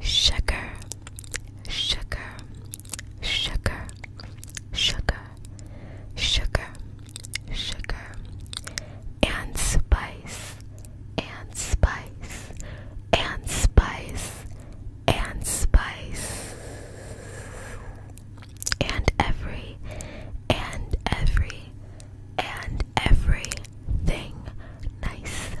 sugar sugar sugar sugar sugar sugar and spice and spice and spice and spice and every and every and everything nice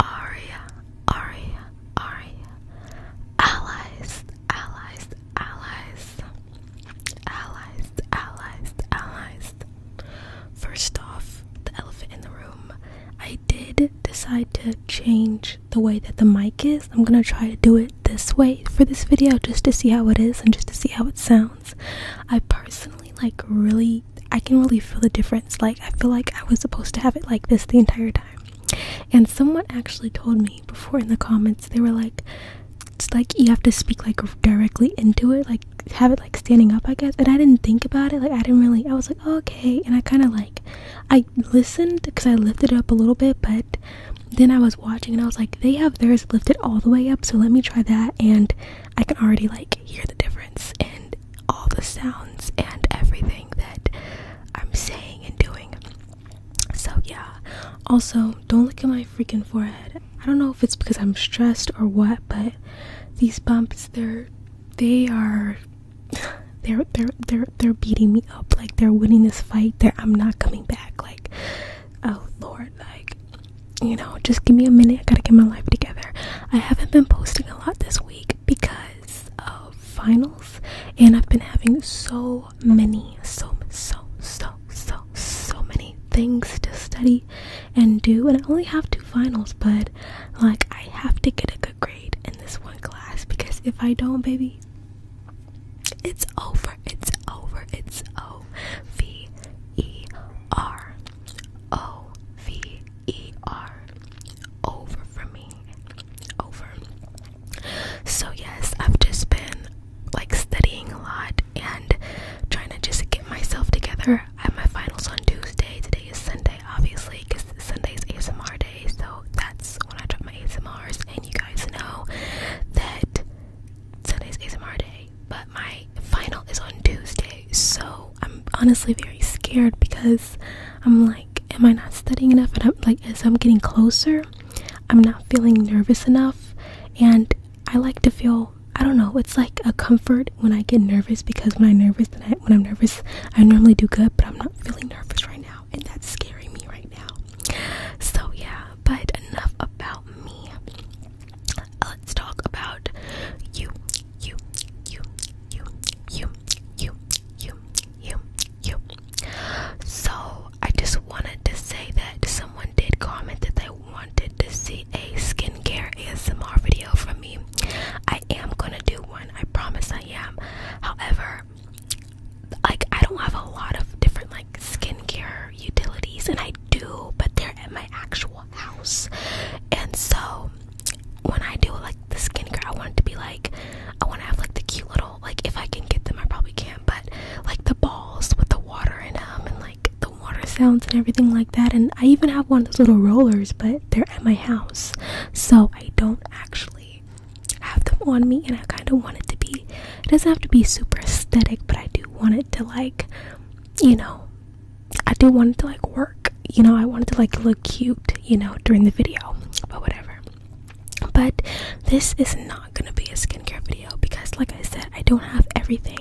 Aria, Aria, Aria. Allies, allies, allies. Allies, allies, allies. First off, the elephant in the room. I did decide to change the way that the mic is. I'm gonna try to do it this way for this video just to see how it is and just to see how it sounds. I personally like really, I can really feel the difference. Like, I feel like I was supposed to have it like this the entire time. And someone actually told me before in the comments, they were like, it's like you have to speak like directly into it, like have it like standing up, I guess. And I didn't think about it, like, I didn't really, I was like, oh, okay. And I kind of like, I listened because I lifted up a little bit, but then I was watching and I was like, they have theirs lifted all the way up, so let me try that. And I can already like hear the difference. And all the sounds and everything that I'm saying and doing. So, yeah. Also, don't look at my freaking forehead. I don't know if it's because I'm stressed or what, but these bumps, they're, they are, they're, they're, they're, they're beating me up. Like, they're winning this fight. They're, I'm not coming back. Like, oh, Lord. Like, you know, just give me a minute. I gotta get my life together. I haven't been posting a lot this week because was finals, and I've been having so many, so, so, so, so, so many things to study and do. And I only have two finals, but like I have to get a good grade in this one class because if I don't, baby, it's over. It's over. It's O V E R O V E R over for me over. So, yes, I've just been like studying a lot and trying to just get myself together. I have my finals on Tuesday. Today is Sunday, obviously, because Sunday is ASMR day. So, that's when I drop my ASMRs. And you guys know that Sunday's ASMR day, but my final is on Tuesday. So, I'm honestly very scared because I'm like, like, am I not studying enough? And I'm like, as I'm getting closer, I'm not feeling nervous enough. And I like to feel, I don't know, it's like a comfort when I get nervous because when I'm nervous, then I, when I'm nervous, I normally do good, but I'm not feeling nervous right now. And that's scaring me right now. So, yeah, but enough about me. Let's talk about you, you, you, you, you, you, you, you, you, you. So I just wanted to say that someone did comment that they wanted to see a skincare ASMR video from me. I am gonna do one. I promise I am. However, like I don't have a lot of different like skincare utilities, and I do, but they're at my actual house, and so when I do like like the skincare. I want it to be like I want to have like the cute little like if I can get them, I probably can, but like the balls with the water in them and like the water sounds and everything like that. And I even have one of those little rollers, but they're at my house, so I don't actually have them on me. And I kind of want it to be. It doesn't have to be super aesthetic, but I do want it to like, you know, I do want it to like work. You know, I want it to like look cute you know, during the video, but whatever. But this is not gonna be a skincare video because, like I said, I don't have everything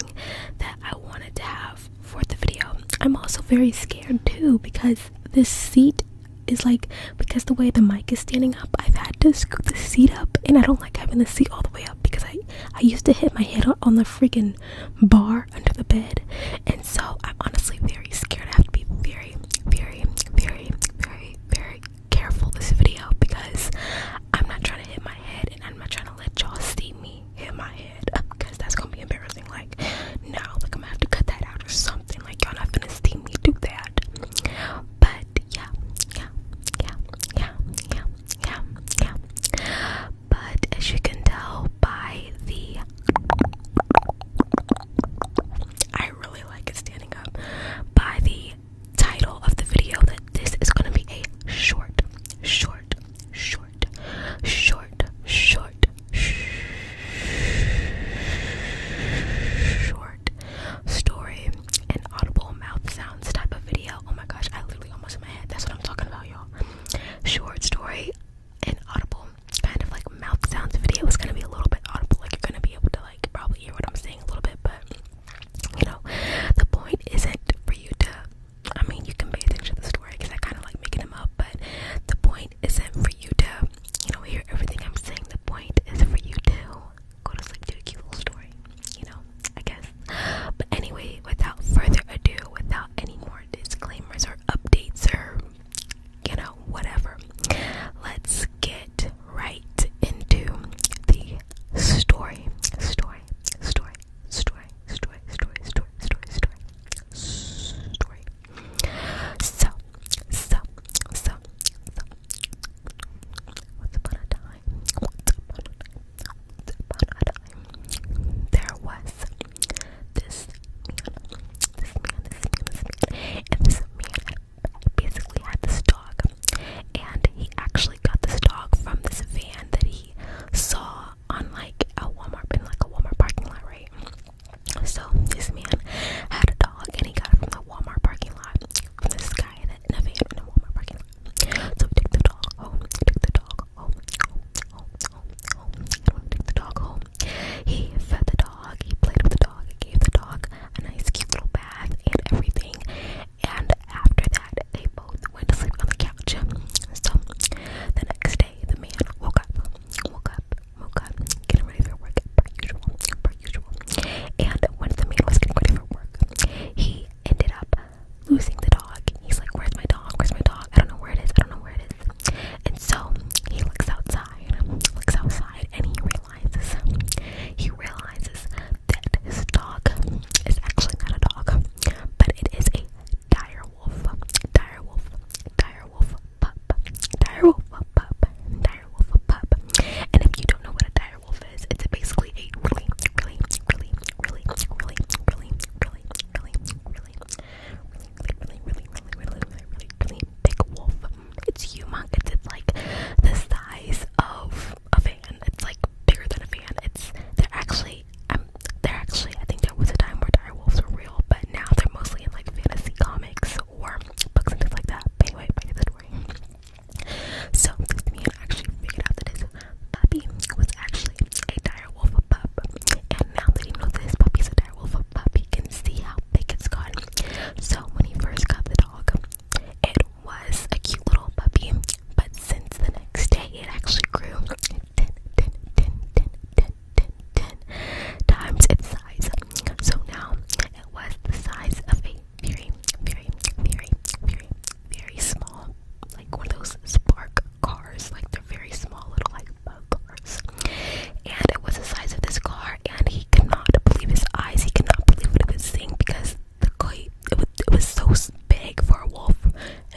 that I wanted to have for the video. I'm also very scared too because this seat is like because the way the mic is standing up, I've had to scoop the seat up, and I don't like having the seat all the way up because I I used to hit my head on, the freaking bar under the bed, and so I'm honestly very scared. I have to be very very, very, very, very, very careful this video because I'm not trying to hit my head and I'm not trying to let y'all see me hit my head because that's gonna be embarrassing. Like, no, like I'm gonna have to cut that out or something. Like, y'all not gonna see me do that. But yeah, yeah, yeah, yeah, yeah, yeah, But as you can tell by the I really like it standing up. By the title of the video, that this is going to be a short, short, short, short, short, short story and audible mouth sounds type of video. Oh my gosh, I literally almost in my head. That's what I'm talking about, y'all. Short story inaudible kind of like mouth sounds video is gonna be a little bit audible, like you're gonna be able to like probably hear what I'm saying a little bit, but you know, the point isn't for you to I mean you can pay attention to the story because I kinda like making them up, but the point isn't for you to, you know, hear everything I'm saying. The point is for you to go to sleep to a cute little story, you know, I guess. But anyway, without further ado, without any more disclaimers or updates or you know, whatever. Let's get right into the story. Story, story, story, story, story, story, story, story, story. So, so, so, so. Once upon a time, once upon a time, once upon a time, there was this man, this man, this man, this man, and this man basically had this dog, and he actually got this dog from this van that he saw on like a Walmart, in like a Walmart parking lot, right? So this man had a dog, and he got it from the Walmart parking lot. From this guy in a, van in a Walmart parking lot. So take the dog home, take the dog home, take the dog home. He fed the dog, he played with the dog, he gave the dog a nice cute little bath and everything. And after that, they both went to sleep on the couch. So the next day, the man woke up, woke up, woke up, getting ready for work per usual, per usual. And when the man was getting ready for work, he ended up losing the dog. He's like, "Where's my dog? Where's my dog? I don't know where it is. I don't know where it is." And so he looks outside, looks outside, and he realizes he realizes that his dog is actually not a dog, but it is a dire wolf, dire wolf, dire wolf pup, dire wolf pup, dire wolf pup. And if you don't know what a dire wolf is, it's basically a really, really, really, really, really, really, really, really, really, really really, really, really, really, really, really, really big wolf. It's humongous. It's like the size of a van. It's like bigger than a van. It's they're actually um they're actually I think there was a time where dire wolves were real, but now they're mostly in like fantasy comics or books and things like that. anyway, back to the story. So this man actually figured out that his puppy was actually a dire wolf pup, and now that he knows that puppy's a dire wolf puppy can see how big it's gotten. So when he first got the dog, it was a cute little puppy, but since the next day, it actually grew 10, times its size. So now it was the size of a very, very, very, very, very small, like one of those spark cars, like they're very small little, like cars. And it was the size of this car, and he could not believe his eyes. He could not believe what he was seeing because the car, it, was, so big for a wolf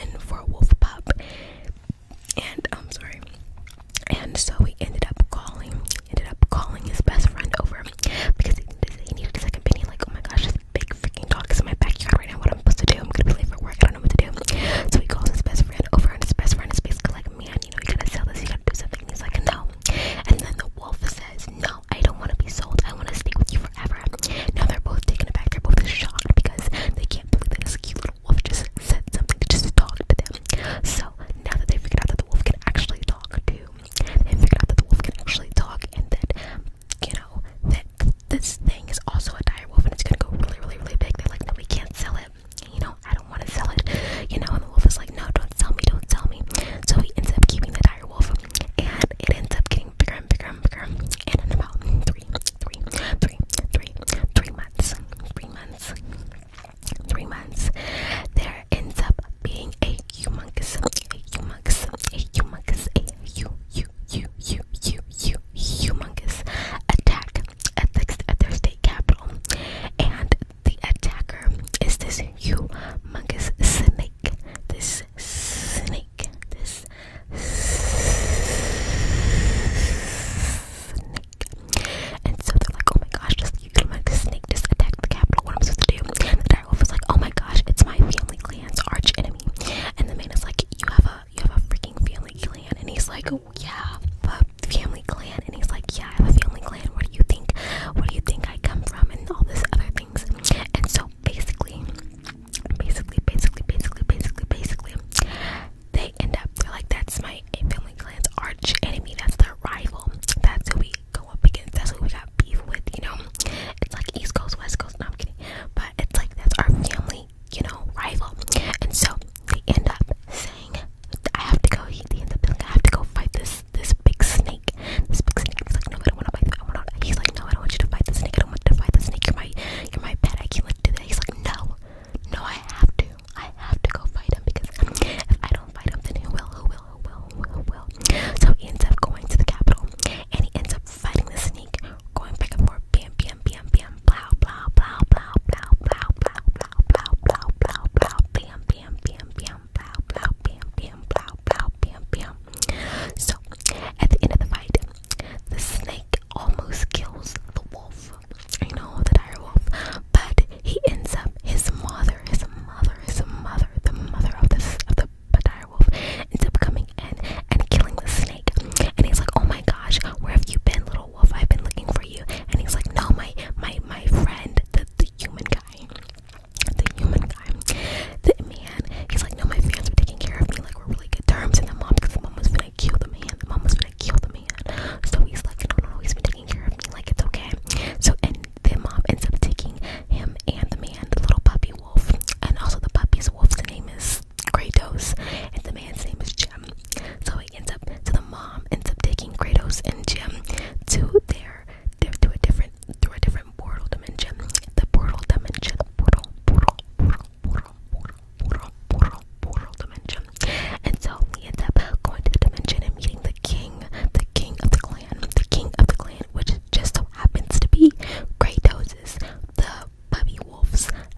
and for a wolf pup. And I'm sorry. And so he ended up calling, ended up calling his best friend over because he, needed a second opinion. Like, oh my gosh, this big freaking dog is in my backyard right now. What am I supposed to do? I'm gonna be late for work. I don't know what to do. So he calls his best friend over, and his best friend is basically like like, man, you know, you gotta sell this, you gotta do something. And he's like, no. And then the wolf says, no, I don't want to be sold. I want to stay with you forever. Now they're both taken aback. They're both shocked because they can't believe that this cute little wolf just said something to just talk to them. So now that they figured out that the wolf can actually talk too, they figured out that the wolf can actually talk and that, you know, that this thing is also a dire wolf and it's gonna go really, really, really big. They're like, no, we can't sell it it. You know, I don't want to sell it. You know, and the wolf was like, no, don't sell me, don't sell me. So he ends up keeping the dire wolf, and it ends up getting bigger and bigger and bigger. And in about three, three, three, three, three months, three months, three months, there ends up being a humongous, a humongous, a humongous, a you, you, you, you, you, you, humongous attack at, the, at their state capital. And the attacker is this humongous snake. This snake. This snake. And so they're like, oh my gosh, this humongous snake just attacked the capital. What am I supposed to do? The direwolf was like, oh my gosh, it's my family clan's arch And the man is like, you have a you have a freaking family clan. And he's like, yeah, the family clan. And he's like, yeah, I have a family clan. Where do you think? Where do you think I come from? And all this other things. And so basically, basically, basically, basically, basically, basically, they end up. They're like, that's my family clan's arch enemy. That's their rival. That's who we go up against. That's who we got beef with. You know, it's like East Coast, West Coast. No, I'm kidding. But it's like that's our family you know, rival. And so they end up saying, I have to go, he ends up like, I have to go fight this this big snake. This big snake. He's like, no, I don't want to fight I wanna, He's like, no, I don't want you to fight the snake. I don't want to fight the snake. You're my, you're my pet. I can't like do that. He's like, no, no, I have to. I have to go fight him because if I don't fight him, then he will, he will, he will, who will, who will. So he ends up going to the capital and he ends up fighting the snake, going back and forth, bam, bam, bam, bam, plow, plow, plow, plow, plow, plow, plow, plow, plow, plow, plow, plow, bam, bam, bam, bam, plow, plow, bam, bam, plow, plow, bam, bam. So, at the end of the fight, the snake almost kills the wolf. I know the dire wolf, but he ends up his mother, his mother, his mother, the mother of this of the dire wolf ends up coming in and killing the snake. And he's like, "Oh my gosh, where have you been, little?" Oh, wolf i've been looking for you and he's like no my my my friend the, the human guy the human guy the man he's like no my fans are taking care of me like we're really good terms and the mom because the mom was gonna kill the man the mom was gonna kill the man so he's like no no no he's been taking care of me like it's okay so and the mom ends up taking him and the man the little puppy wolf and also the puppy's wolf's name is Kratos and the man's name is Jim. So ends up, so the mom ends up taking Kratos and Jim to their, to a different, to a different portal dimension. The portal dimension, portal, portal, portal, portal, portal, portal, dimension. And so he ends up going to the dimension and meeting the king, the king of the clan, the king of the clan, which just so happens to be Kratos' the Bubby Wolf's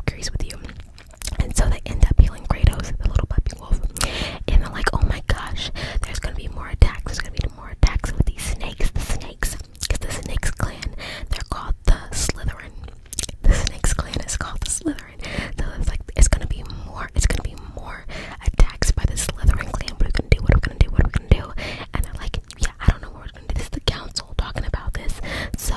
agrees with you. And so they end up healing Kratos, the little puppy wolf. And they're like, oh my gosh, there's gonna be more attacks. There's gonna be more attacks with these snakes. The snakes. Because the snakes clan, they're called the Slytherin. The snakes clan is called the Slytherin. So it's like, it's gonna be more, it's gonna be more attacks by the Slytherin clan. What are we gonna do? What are we gonna do? What are we gonna do? And they're like, yeah, I don't know what we're gonna do. This is the council talking about this. So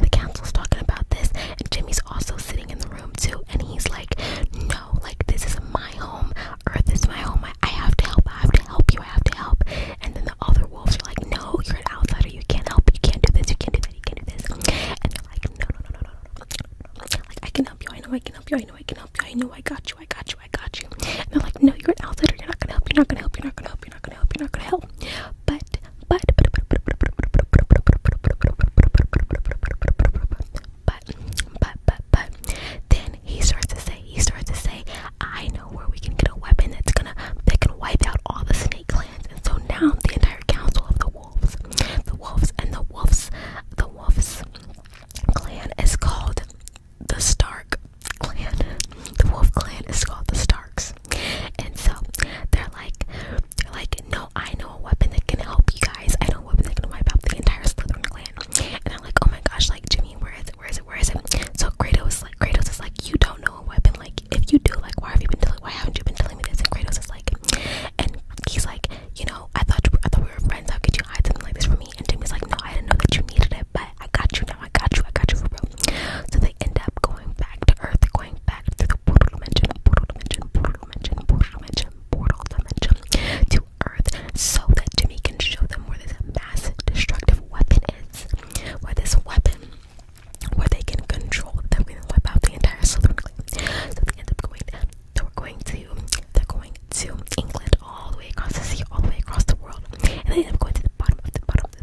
the council's talking about this, and Jimmy's also sitting in the room too, and he's like, "No, like this is my home, Earth is my home. I, have to help. I have to help you. I have to help." And then the other wolves are like, "No, you're an outsider. You can't help. You can't do this. You can't do that. You can't do this." And they're like, no, no, no, no, no, no. Like I can help you. I know I can help you. I know I can help you. I know I got you. I got you. I got you." And they're like, "No, you're an outsider. You're not gonna help. You're not gonna help. You're not gonna help. You're not gonna help. You're not gonna help." but but but but but but but but but then he starts to say he starts to say I know where we can get a weapon that's gonna that can wipe out all the snake clans and so now the entire council of the wolves the wolves and the wolves the wolves clan is called the Stark clan. The Wolf clan is called the Starks. And so they're like, they're like, no, I know a weapon that can help you guys. I know a weapon that can wipe out the entire Slytherin clan. And I'm like, oh my gosh, like Jimmy, where is it? Where is it? Where is it? So Kratos, like Kratos, is like, you don't know a weapon. Like if you do, like why have you been telling? Why haven't you been telling me this? And Kratos is like, and he's like, you know, I thought I thought we were friends. How could you hide something like this from me? And Jimmy's like, no, I didn't know that you needed it, but I got you now. I got you. I got you for real. So they end up going back to Earth, going back to the portal dimension, portal dimension, portal dimension, portal dimension, to Earth so that Jimmy can show them where this mass destructive weapon is. Where this weapon, where they can control them and wipe out the entire Southern Clan. So they end up going, they're going to, they're going to England all the way across the sea, all the way across the world. And they end up going to the bottom of the bottom of the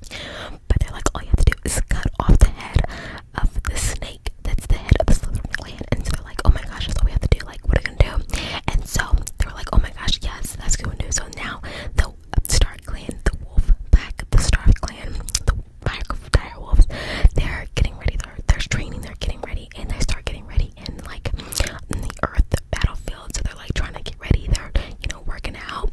But they're like, all you have to do is cut off the head of the snake that's the head of the Slytherin clan. And so they're like, oh my gosh, that's all we have to do. Like, what are we gonna do? And so they are like, oh my gosh, yes, that's good news. So now the Stark clan, the wolf pack, the Stark clan, the pack of dire wolves, they're getting ready. They're, they're training, they're getting ready, and they start getting ready in like in the earth battlefield. So they're like trying to get ready. They're, you know, working out,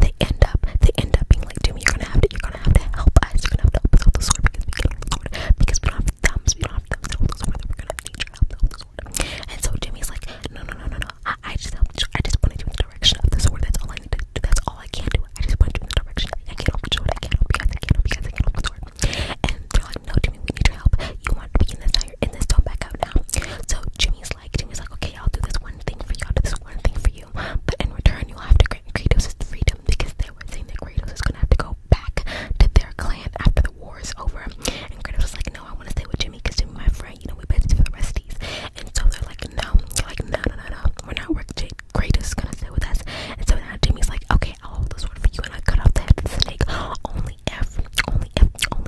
they end up, they end up being like, Jimmy, you're gonna have to, you're gonna have to help us. You're gonna have to help us hold the sword because we can't hold the sword. Because we don't have thumbs, we don't have thumbs to hold the sword. We're gonna have nature help to hold the sword. And so Jimmy's like, no, no, no, no, no. I, I just helped. I just pointed you in the direction of the sword. That's all I need to do. That's all I can do. I just pointed you in the direction. I can't help the sword. I can't help you guys. I can't help you guys. I can't help the sword. And they're like, no, Jimmy, we need your help. You want to be in this now in this, don't back out now. So Jimmy's like, Jimmy's like, okay, I'll do this one thing for you, I'll do this one thing for you, but in return you'll have to grant Kratos his freedom because they were saying that Kratos is gonna have to go back to their clan after the war is over. And Kratos like, no, I want to stay with Jimmy because Jimmy, my friend, you know, we've been for the resties. And so they're like, no, they're like, no, no, no, no, we're not working. Kratos gonna stay with us. And so now Jimmy's like, okay, I'll hold the sword for you and I cut off the head of the snake. Only if, only if, only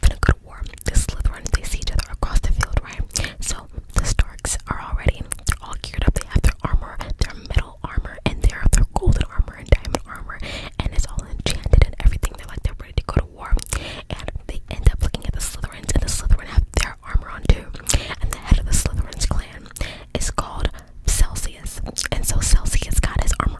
finna go to war. The Slytherins, they see each other across the field, right? So the Starks are already, they're all geared up. They have their armor, their metal armor, and their, their golden armor and diamond armor. And it's all enchanted and everything. They're like, they're ready to go to war. And they end up looking at the Slytherins, and the Slytherin have their armor on too. And the head of the Slytherins clan is called Celsius. And so Celsius got his armor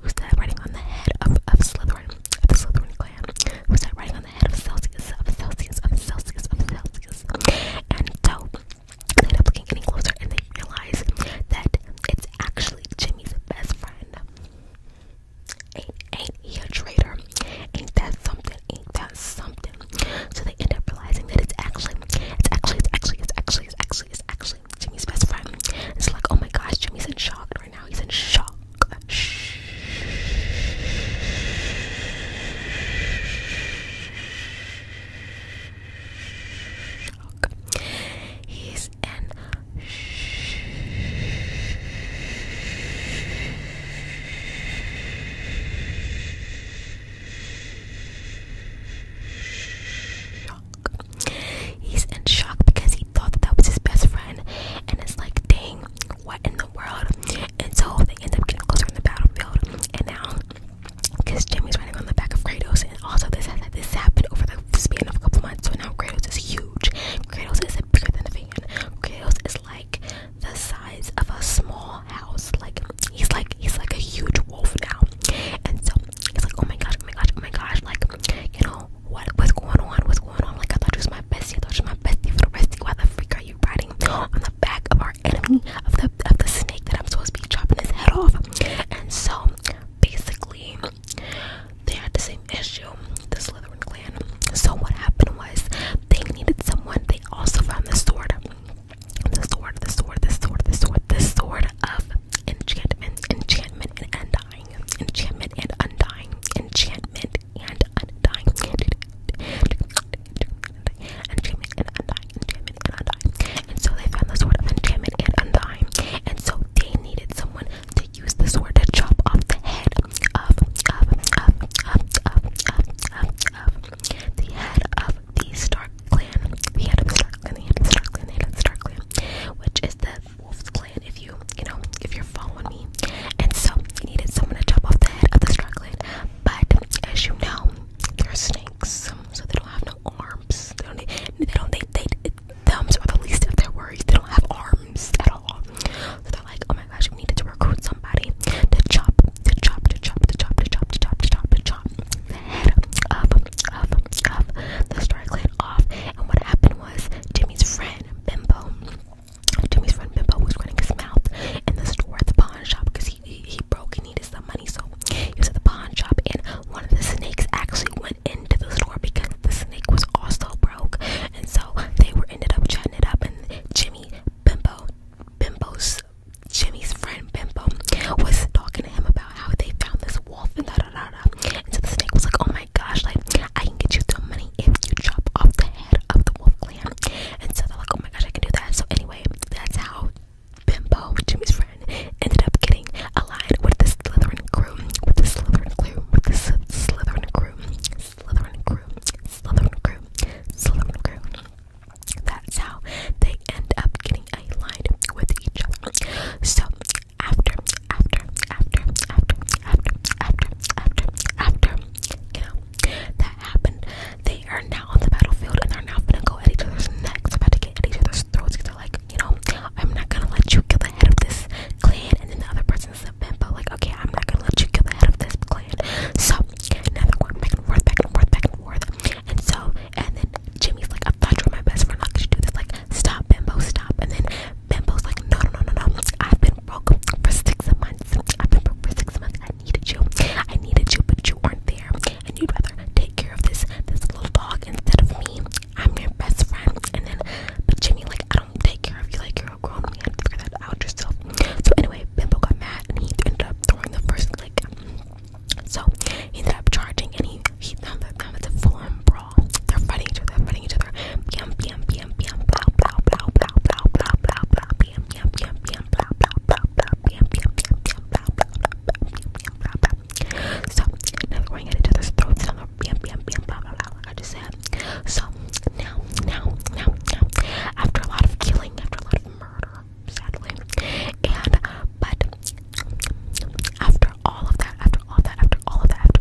who's that riding on the head of, of Slytherin, of the Slytherin clan? Who's that riding on the head of Celsius, of Celsius, of Celsius, of Celsius? And so they end up looking any closer and they realize that it's actually Jimmy's best friend. Ain't, ain't he a traitor? Ain't that something? Ain't that something? So they end up realizing that it's actually, it's actually, it's actually, it's actually, it's actually, Jimmy's best friend. It's like, oh my gosh, Jimmy's in shock right now. He's in shock. Shh. Shock. He's in shock. He's in shock because he thought that, that was his best friend, and it's like, dang, what in the world? And so they end up getting closer in the battlefield, and now because Jimmy's running on the back of Kratos, and also this has happened over the span of a couple months. So now Kratos is huge. Kratos is bigger than a fan. Kratos is like the size of a small house. Like he's like he's like a huge wolf now. And so it's like, oh my gosh, oh my gosh, oh my gosh. Like you know, what what's going on? What's going on? Like I thought you was my bestie. I thought you was my bestie for the rescue. Why the freak are you riding on the back of our enemy of the of the snake that I'm supposed to be chopping his head off? And so basically they had the same issue, the Slytherin clan. So what happened was they needed someone. They also found the sword. The sword, the sword, the sword, the sword, the sword of enchantment, enchantment, and undying, enchantment and undying, enchantment and undying, enchantment and undying, enchantment and undying. And so they found the sword of enchantment and undying, and so they needed someone to use the sword to chop off the head of, of, of, of, of, of, of, of the head of the Stark clan, the head of the Stark clan, the head of the Stark clan, the head of the Stark clan, which is the Wolf's Clan if you, you know, if you're following me. And so he needed someone to chop off the head of the Star Clan. But as you know, they're snakes, so they don't have no arms. They don't. They don't. They. they, they thumbs are the least of their worries. They don't have arms at all. So they're like, oh my gosh, we needed to recruit somebody to chop, to chop, to chop, to chop, to chop, to chop, to chop, to chop the head of, of, of the Star Clan off. And what happened was Jimmy's friend Bimbo. Jimmy's friend Bimbo was running his mouth in the store at the pawn shop because he, he broke and needed some money, so he was at the pawn shop. And one of the snakes actually went into the store because the snake was also broke, and so they were ended up chatting it up. And Jimmy Bimbo, Bimbo's Jimmy's friend Bimbo was talking to him about how they found this wolf and da da da And so the snake was like, "Oh my! my gosh, like I can get you some money if you chop off the head of the wolf clan. And so they're like, oh my gosh, I can do that. So anyway, that's how Bimbo, Jimmy's friend, ended up getting allied with the Slytherin crew, with the Slytherin crew, with the Slytherin crew, Slytherin crew, Slytherin crew, Slytherin crew. That's how they end up getting aligned with each other. So after, after, after, after, after, after, after, after, you know, that happened. They are now on the battlefield and they're now gonna go at each other's necks, about to get at each other's throats because they're like, you know, I'm not gonna let you kill the head of this clan. And then the other person's a but like, okay, I'm not gonna let you kill the head of this clan. So now they're going back and forth, back and forth, back and forth. And so, and then Jimmy's like, I thought you were my best friend. How could you do this? Like, stop, Bimbo, stop. And then Bimbo's like, no, no, no, no, no. I've been broke for six months. I've been broke for six months. I needed you. I needed you, but you weren't there. And you'd rather take care of this this little dog instead of me. I'm your best friend. And then, but Jimmy, like, I don't take care of you. Like, you're a grown man. Figure that out yourself. So anyway, Bimbo got mad and he ended up throwing the first like. So he ended up charging and he he found that, found that the full-on brawl y'all. They're fighting each other, fighting each other. Bam, bam, bam, bam, blah, blah, blah, blah, blah, blah, blah, blah, bam, bam, bam, bam, blah, blah, blah, blah, bam, bam, bam, bam, blah, blah, blah, bam, blah, blah. So now they're going each other's throats. Bam, bam, bam, blah, blah, Like I just said. So now, now, now, now, after a lot of killing, after a lot of murder, sadly, and but after all of that, after all of that, after all of that,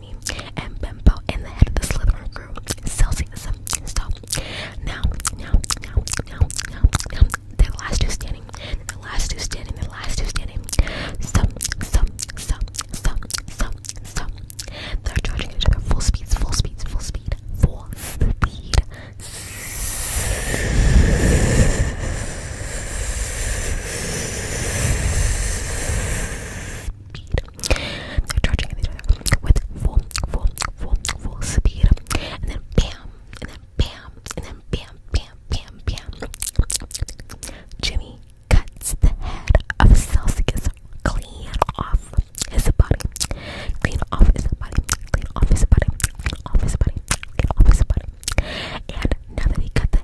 Houdini, and Bembo, and the head of the Slytherin crew, Celsius. Now, now, now, now, now, now. The last two standing. The last two standing. The last two standing. Stop, stop, stop, stop, stop, stop. They're charging each other full speeds, full speeds, full speed, full speed with full, full, full, full speed. And then bam, and then bam, and then bam, bam, bam, bam. Jimmy cuts the head of Celsius clean off his Clean off his body. Clean off his body. Clean off his body. Clean off his And now that he cut the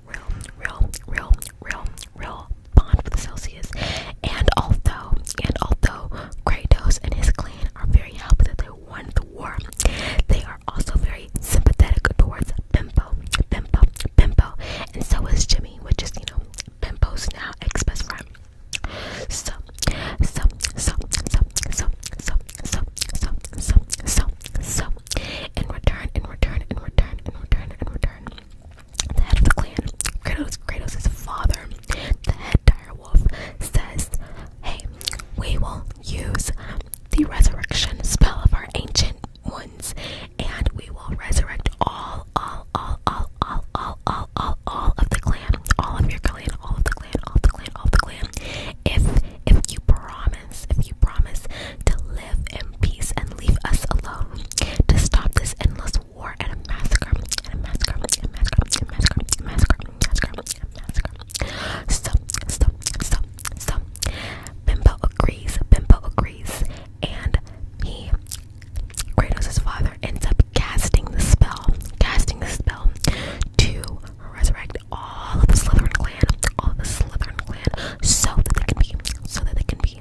real, real, real, real, real bond with Celsius. And although, and although Kratos and his clan are very happy that they won the war, they are also very sympathetic towards Bimbo, Bimbo, Bimbo, and so is Jimmy, which is you know Bimbo's now ex-best friend. So, so, so, so, so, so, so, so, so, so, so, in return, in return, in return, in return, in return, the head of the clan, Kratos, Kratos' father, the head direwolf, says, Hey, we will use the resurrection spell of our ancient ones, and we will resurrect all, all, all, all, all, all, all, all, all of the clan, all of your clan, all of the clan, all of the clan, all of the clan. If if you promise, if you promise to live in peace and leave us alone. To stop this endless war and a massacre, and a massacre, and a massacre, and a massacre, and a massacre, and a massacre, and a massacre. So, so, so, so, Bimbo agrees, Bimbo agrees, and he, Kratos' father, ends up casting the spell, casting the spell to resurrect all of the Slytherin clan, all of the Slytherin clan, so that they can be, so that they can be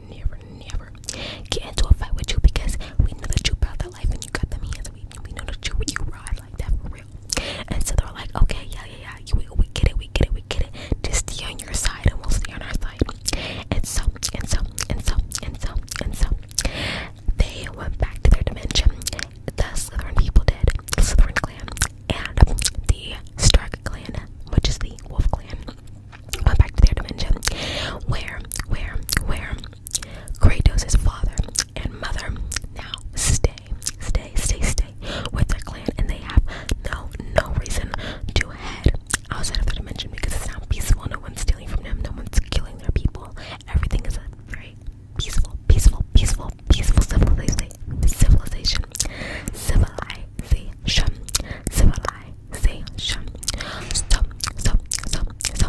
never, never get into a fight with you because we know that you brought that life and you got them hands. We, we know that you you ride like that for real. And so they're like, okay, yeah, yeah, yeah, you, we, we get it, we get it, we get it. Just stay on your side and we'll stay on our side. And so, and so, and so, and so, and so, they went back to their dimension. The Slytherin people did, the Slytherin clan, and the Stark clan, which is the Wolf clan went back to their dimension, where, where, where Kratos' father and mother now stay, stay, stay, stay with their clan, and they have no, no reason to head outside of their dimension because it's now peaceful. No one's stealing from them. No one's killing their people. Everything is a very peaceful, peaceful, peaceful, peaceful civilization. Civilization. Civilization. Civilization realization. So, so, so, so,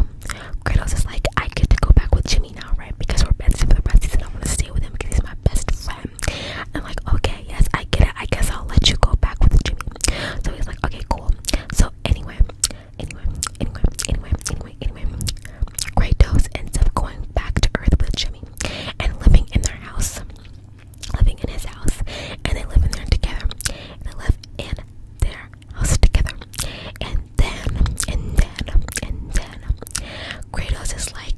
Kratos is like, I get to go back with Jimmy now, right? Because we're besties for the rest of the season. I want to stay with him because he's my best friend. I'm like, okay, yes, I get it. I guess I'll let you go back with Jimmy. So he's like, okay, cool. So anyway, anyway, anyway, anyway, anyway, anyway, Kratos ends up going back to Earth with Jimmy and living in their house, living in his house, and they live in there together. And they live in their house together. And then, and then, and then, Kratos is like,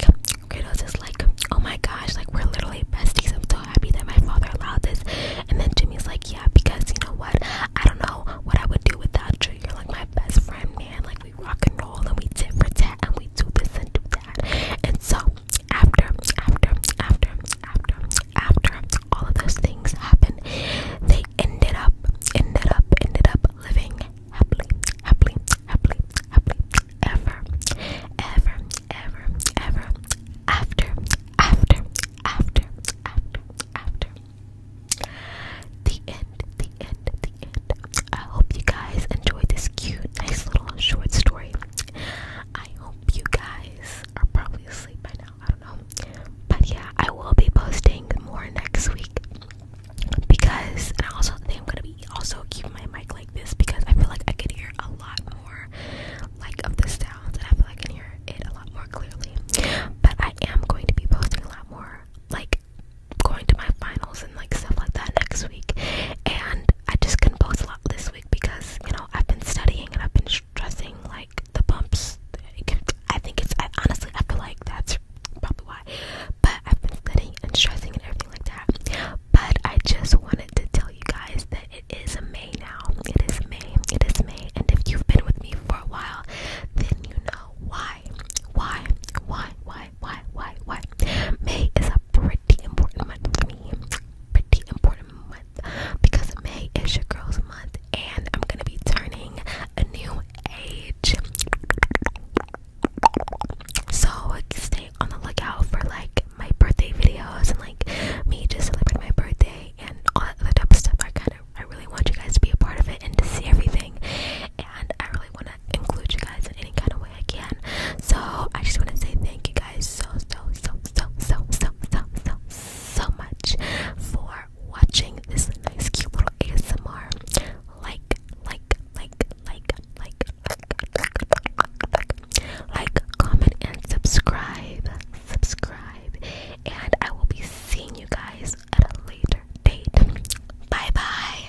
Kratos is like, oh my gosh, like we're literally besties. I'm so happy that my father allowed this. And then Jimmy's like, yeah, because you know what? I don't know what I would do without you. You're like my best friend, man. Like we rock and roll and we tit for tat and we do this and do that. And so after, after, after, after, after all of those things happened, they ended up, ended up, ended up living happily, happily, happily, happily, ever, ever, ever, ever, after, after, after, after, after. The end, the end, the end. I hope you guys enjoyed this cute, nice little short story. I hope you guys are probably asleep by now. I don't know. But yeah, I will be posting more next week because I also think I'm gonna be also keeping my mic like this because I feel like I can hear a lot more like of the sounds and I feel like I can hear it a lot more clearly. But I am going to be posting a lot more like going to my finals and like stuff like that next week and I just couldn't post a lot this week because you know I've been studying and I've been stressing like the bumps. I think it's honestly I feel like that's probably why. But I've been studying and stressing and everything like that. But I just wanted to tell you guys that it is May now. It is May. It is May. And if you've been with me for a while, then you know why. Why? Why? Why? Why? Why? Why? May is a pretty important month for me. Pretty important month month because May is your girls' month, and I'm gonna be turning a new age. So stay on the lookout for like my birthday videos and like me just celebrating my birthday and all that other type of stuff. I kind of, I really want you guys to be a part of it and to see everything, and I really want to include you guys in any kind of way I can. So I just want to say thank you guys so so so so so so so so. so so much for watching this nice cute little ASMR. Like, like, like, like, like, like, like, comment, and subscribe. Subscribe. And I will be seeing you guys at a later date. Bye bye.